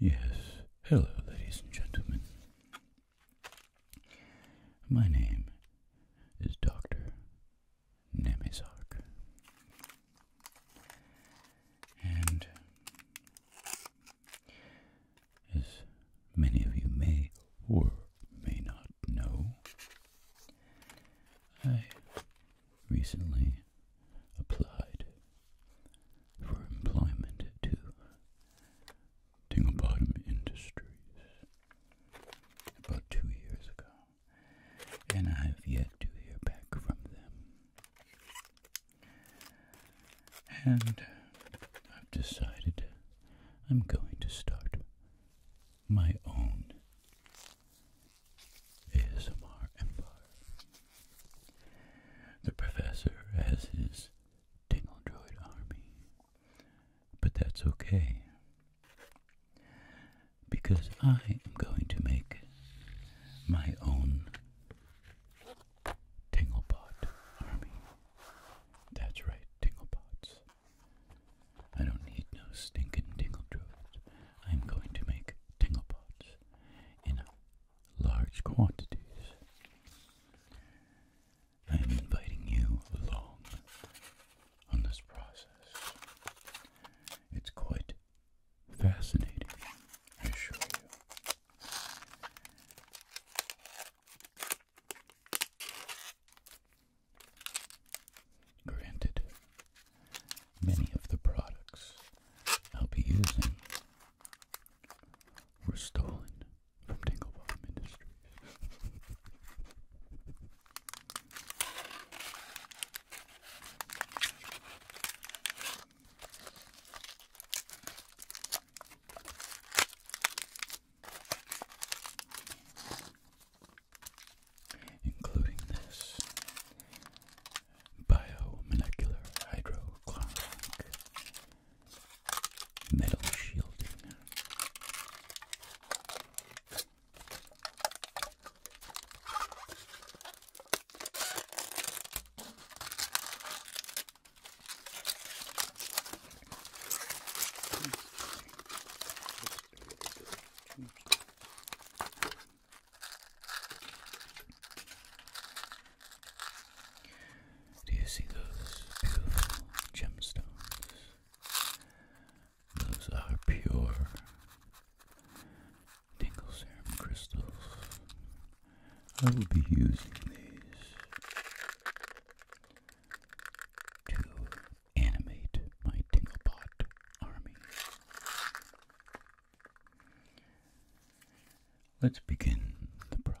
Yes, hello, ladies and gentlemen. My name is Dr. Nemizok. And as many of you may or may not know, I recently applied for employment to Tingle Bottom Industries about two years ago, and I have yet to hear back from them and I've decided I'm going to start my own ASMR empire. The professor has his Tingle army, but that's okay because I am going to make my own Tingle army. That's right, Tinglebots. I don't need no stinking tingle droves. I'm going to make Tinglebots in large quantities. I'm inviting you along on this process. It's quite fascinating, I assure you. Granted, many of the products I'll be using were stolen from Tinglebottom Industries including this biomolecular hydrochloric metal shielding. Do you see those beautiful gemstones? Those are pure Dinglesham crystals I will be using these to animate my Tinglepot army. Let's begin the process.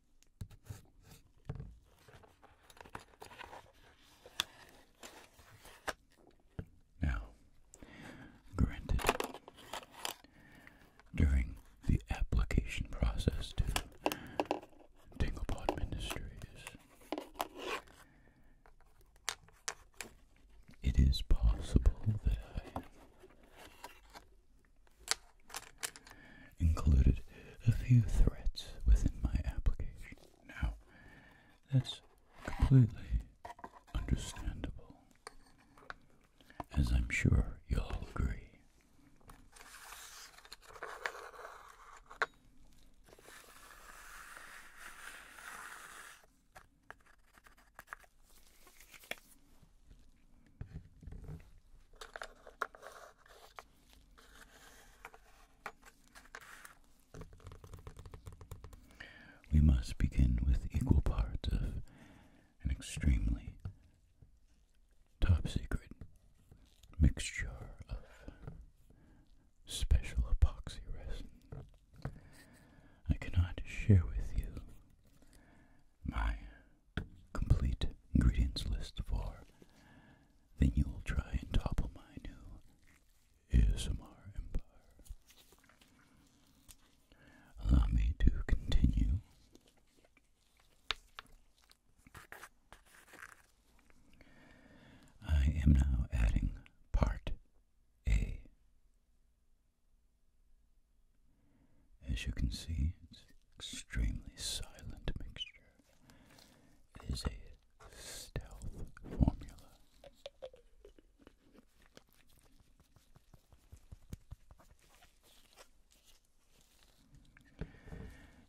Now, granted, during the application process to Tinglepod Ministries, it is possible that I included a few threats within my application. Now, that's completely understandable, as I'm sure you'll all agree. We must begin with equal parts of an extremely top secret mixture of special epoxy resin. I cannot share with you my complete ingredients list for, then you will try and topple my new ASMR empire. Allow me to continue. I am now adding part A. As you can see, it's an extremely silent mixture. It is a stealth formula.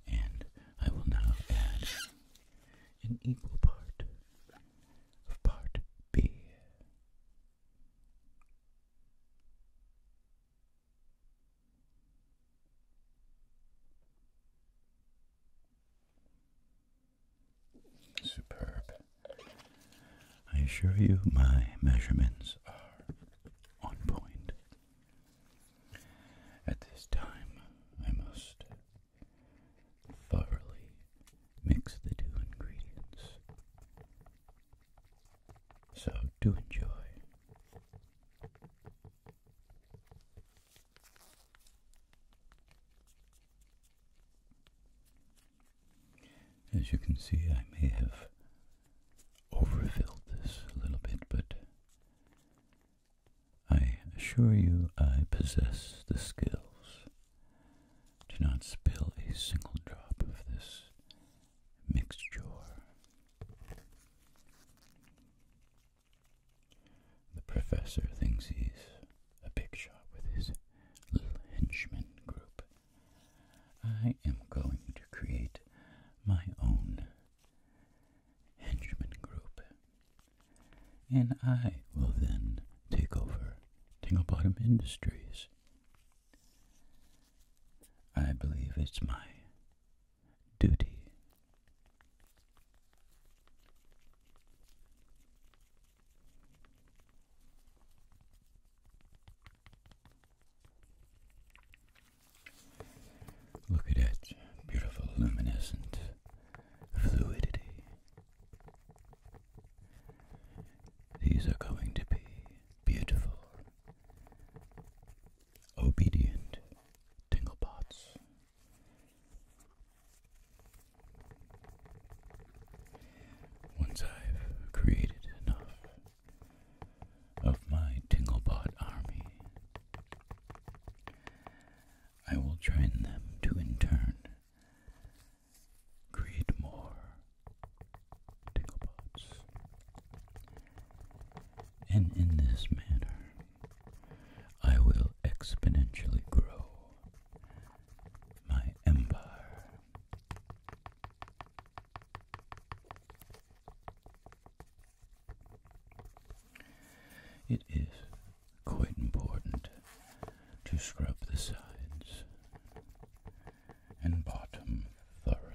And I will now add an equal part of part B. Superb. I assure you my measurements are on point. At this time, I must thoroughly mix the two ingredients. So do enjoy. As you can see, I may have overfilled this a little bit, but I assure you I possess the skills to not spill a single drop of this mixture the professor thinks he's a big shot with his little henchman group. I am going to create my own henchman group. And I will then take over Tingle Bottom Industries. I believe it's my duty. Look at it, beautiful luminescent fluidity. These are going to be beautiful obedient tinglebots. Once I've created enough of my tinglebot army, I will train them to in turn create more TingleBots. And in this manner, I will exponentially grow my empire. It is quite important to scrub the sides and bottom thoroughly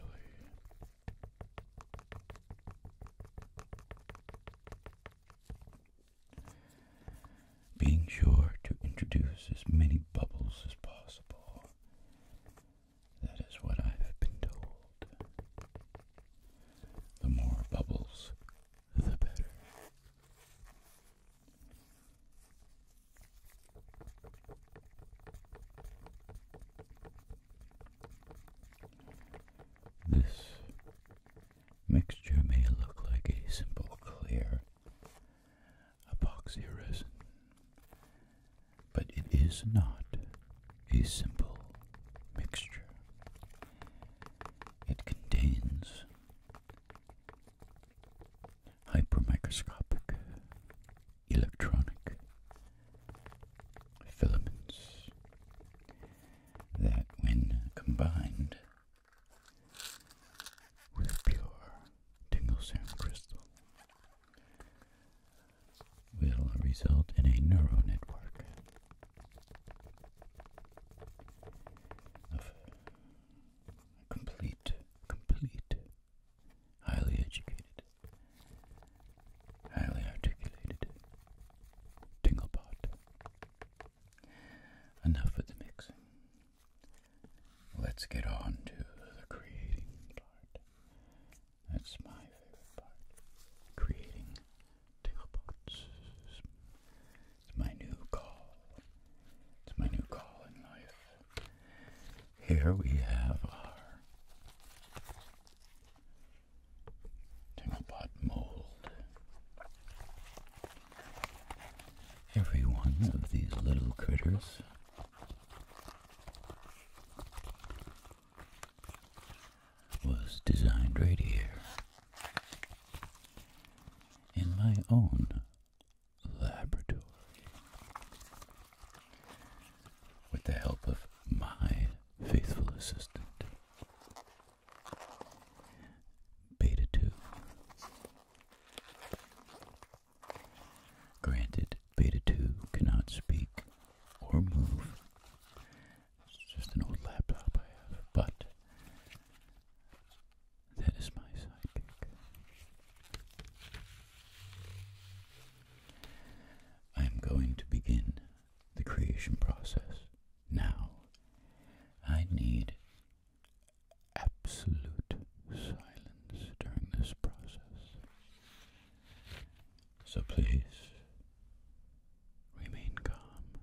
being sure to introduce as many bubbles as possible. That is what I have been told. The more bubbles, the better. This mixture may look like a simple clear epoxy resin, but it is not a simple mixture. It contains hypermicroscopic electronic filaments that, when combined with pure tingle serum crystal, will result in a neural network of complete, complete highly educated, highly articulated Tinglebot. Enough with the mixing. Let's get on to the creating part. That's my favorite part. Creating Tinglebots. It's my new call. It's my new call in life. Here we have our Tinkerpot mold. Every one of these little critters was designed right here in my own laboratory with the help of my faithful assistant, Beta 2. Granted, Beta 2 cannot speak or move. It's just an old laptop I have, but that is my sidekick. I am going to begin the creation process now. I need absolute silence during this process. So please remain calm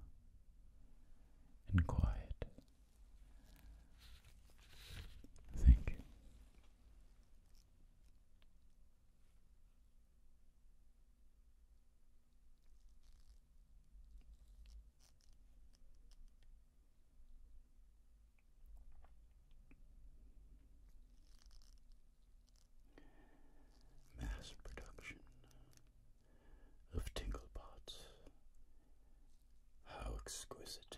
and quiet. Thank Mass production of tingle pots. How exquisite.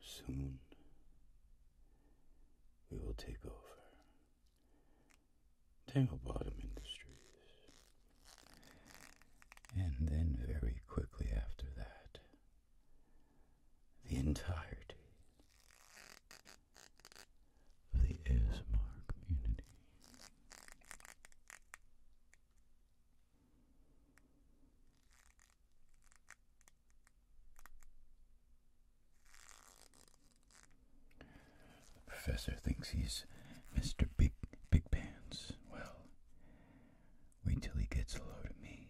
Soon we will take over Tangle Bottom Industries. And then, very quickly after that, the entirety of the ASMR community. The professor thinks he's Mr. Big Big Pants. Well, wait till he gets a load of me.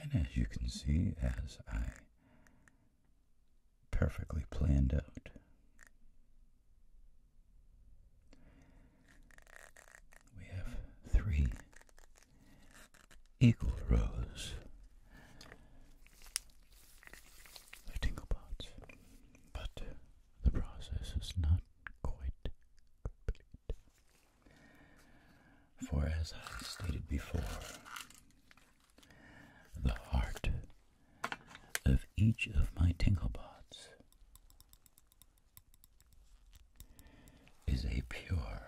And as you can see, as I perfectly planned out, we have three equal rows the tingle but uh, the process is not quite complete. For as I stated before, the heart of each of my tinglebots is a pure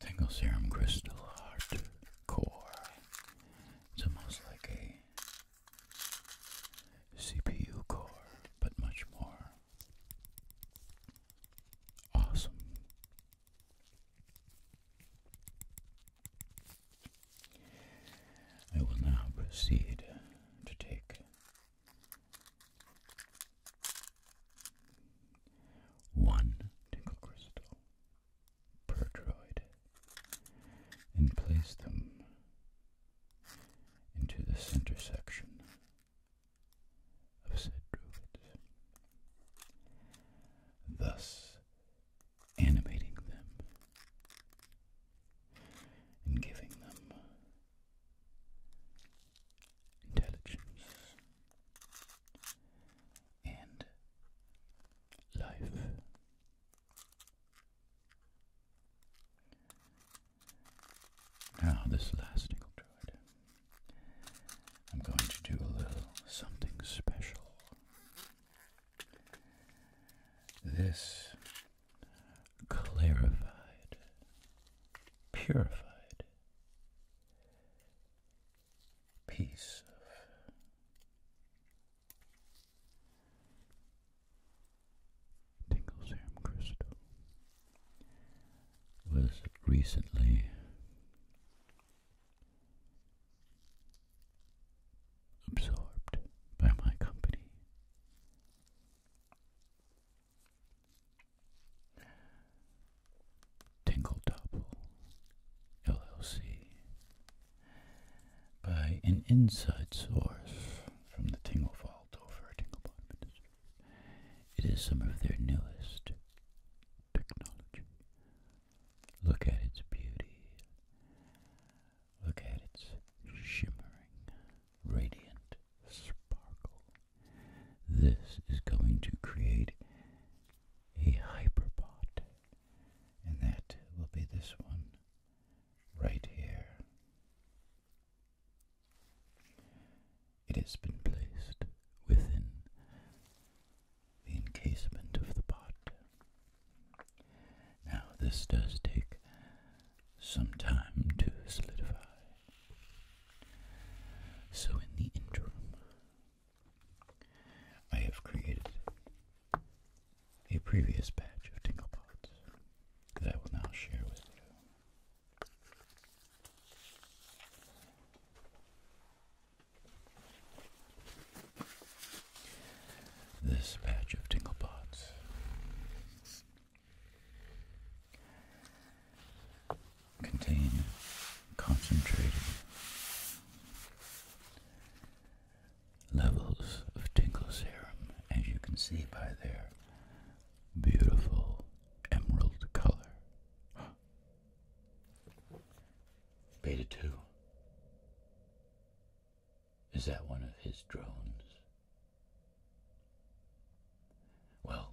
Tingle Serum Crystal Heart Core. It's almost like a CPU core, but much more awesome. I will now proceed to take one tinkle crystal per droid and place them into the center section of said druids, thus animating them and giving them intelligence, and life. Now, this last tickle I'm going to do a little something special. This clarified, purified piece of Tingle Crystal was recently absorbed by my company. Tingle LLC by an inside source from the Tingle Vault over at Tinglebot It is some of their newest technology. Look at its beauty. Look at its shimmering, radiant sparkle. This is going to create a hyperpod, and that will be this one right here. It has been placed within the encasement of the pot. Now, this does take some time to solidify. So, in the interim, I have created a previous batch of tingle pots that I will now share with you. This batch of tingle pots contain concentrated levels of tingle serum, as you can see by their beautiful emerald color. Beta 2. Is that one of his drones? Well,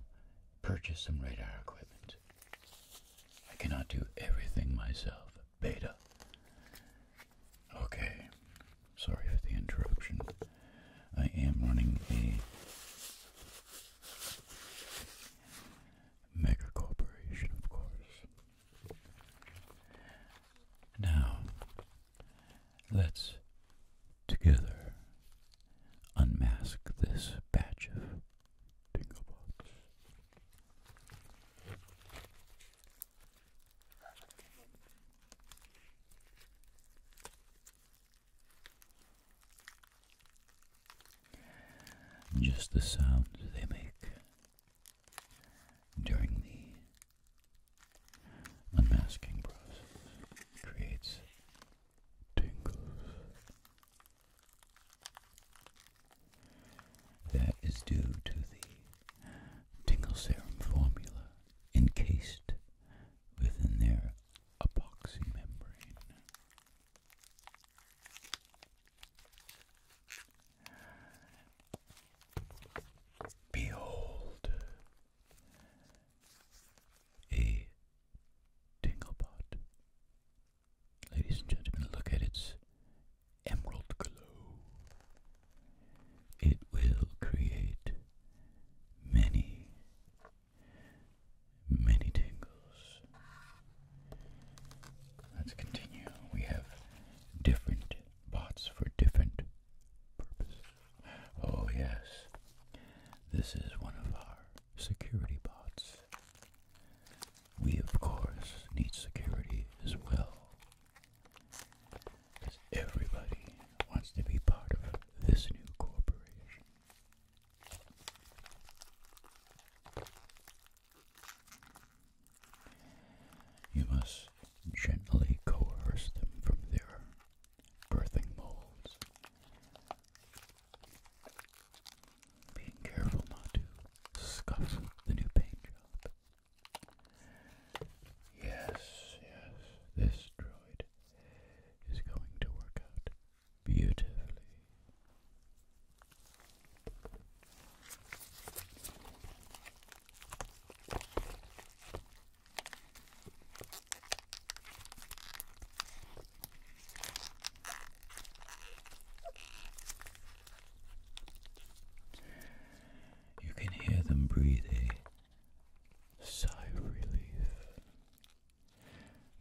purchase some radar equipment. I cannot do everything myself, Beta. Okay, sorry for the interruption. I am running a mega corporation, of course. Now, let's together unmask this batch of bingo box. Just the sound they make during the unmasking process creates tingles. That is due to the tingle serum formula encased within their epoxy membrane. Behold a Tinglebot. Ladies and gentlemen, look at its emerald glow. It will create many, many tingles. Let's continue. We have different bots for different purposes. Oh, yes, this is one of our security bots. We, of course, need security as well. Because everybody wants to be part of this new corporation. You must gently coerce them from their birthing molds. Being careful not to scuff the new paint job. Yes, yes, this droid is going to work out beautifully. You can hear them breathing. Sigh of relief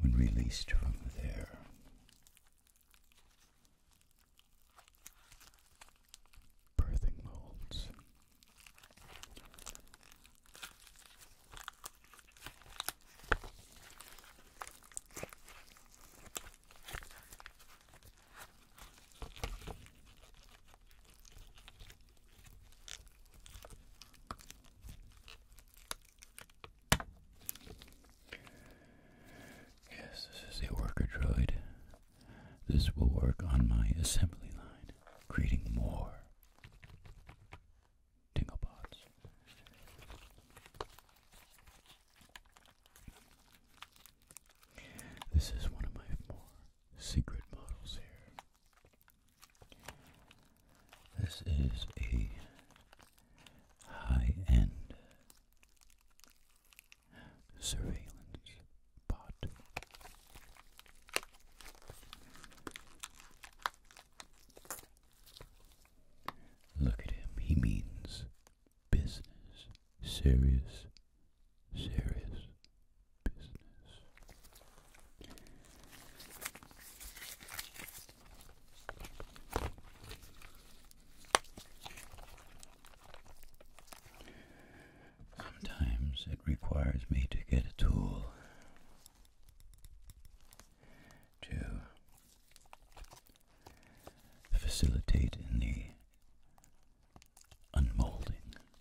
when released from there. Birthing molds Yes, this is a worker droid. This will work on my assembly line, creating more Tinglebots. This is one of my more secret models here. This is a high end surveillance pot. Look at him, he means business. Serious, serious business. Sometimes it requires me to get a tool to facilitate in the unmolding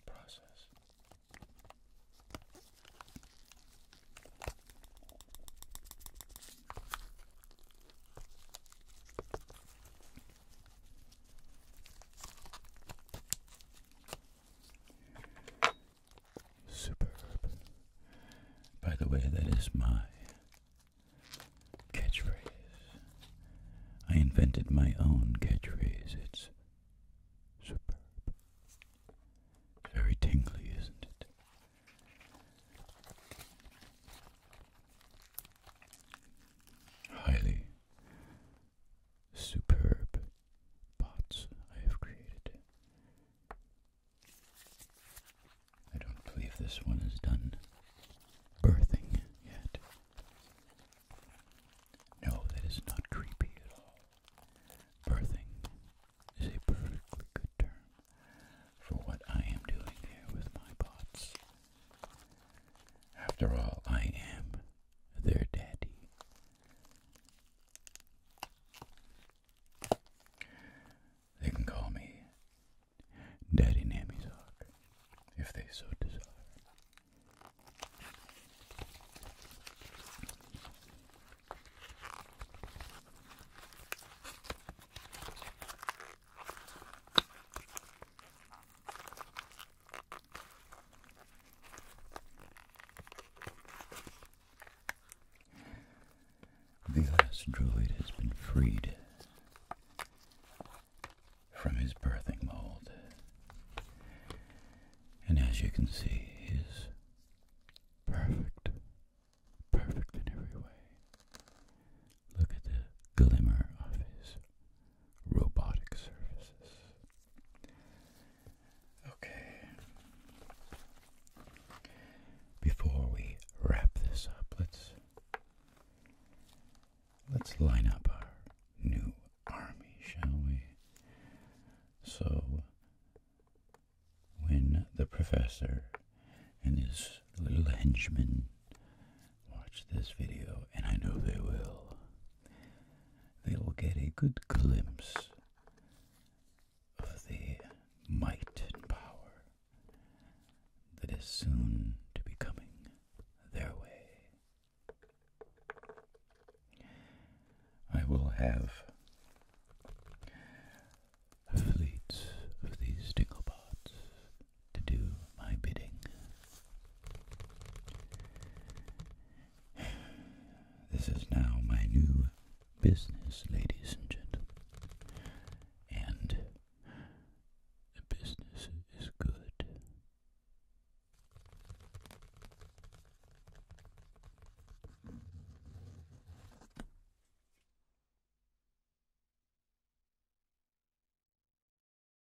process. Superb. By the way, that is my catchphrase. I invented my own catchphrase. It's superb. Very tingly, isn't it? Highly superb bots I have created. I don't believe this one is done birthing yet. No, that is not creepy at all. Birthing is a perfectly good term for what I am doing here with my bots. After all, I am their daddy. They can call me Daddy Namizok if they so desire. The last druid has been freed from his birthing mold. And as you can see, he's perfect. Perfect in every way. Look at the glimmer of his robotic surfaces. Okay. Before we wrap this up, let's let's line up our new army, shall we? So when the professor and his little henchmen watch this video, and I know they will, they will get a good glimpse of the might and power that is soon to be coming their way. I will have fleets of these dinglebots to do my bidding. This is now my new business, ladies and gentlemen. And the business is good.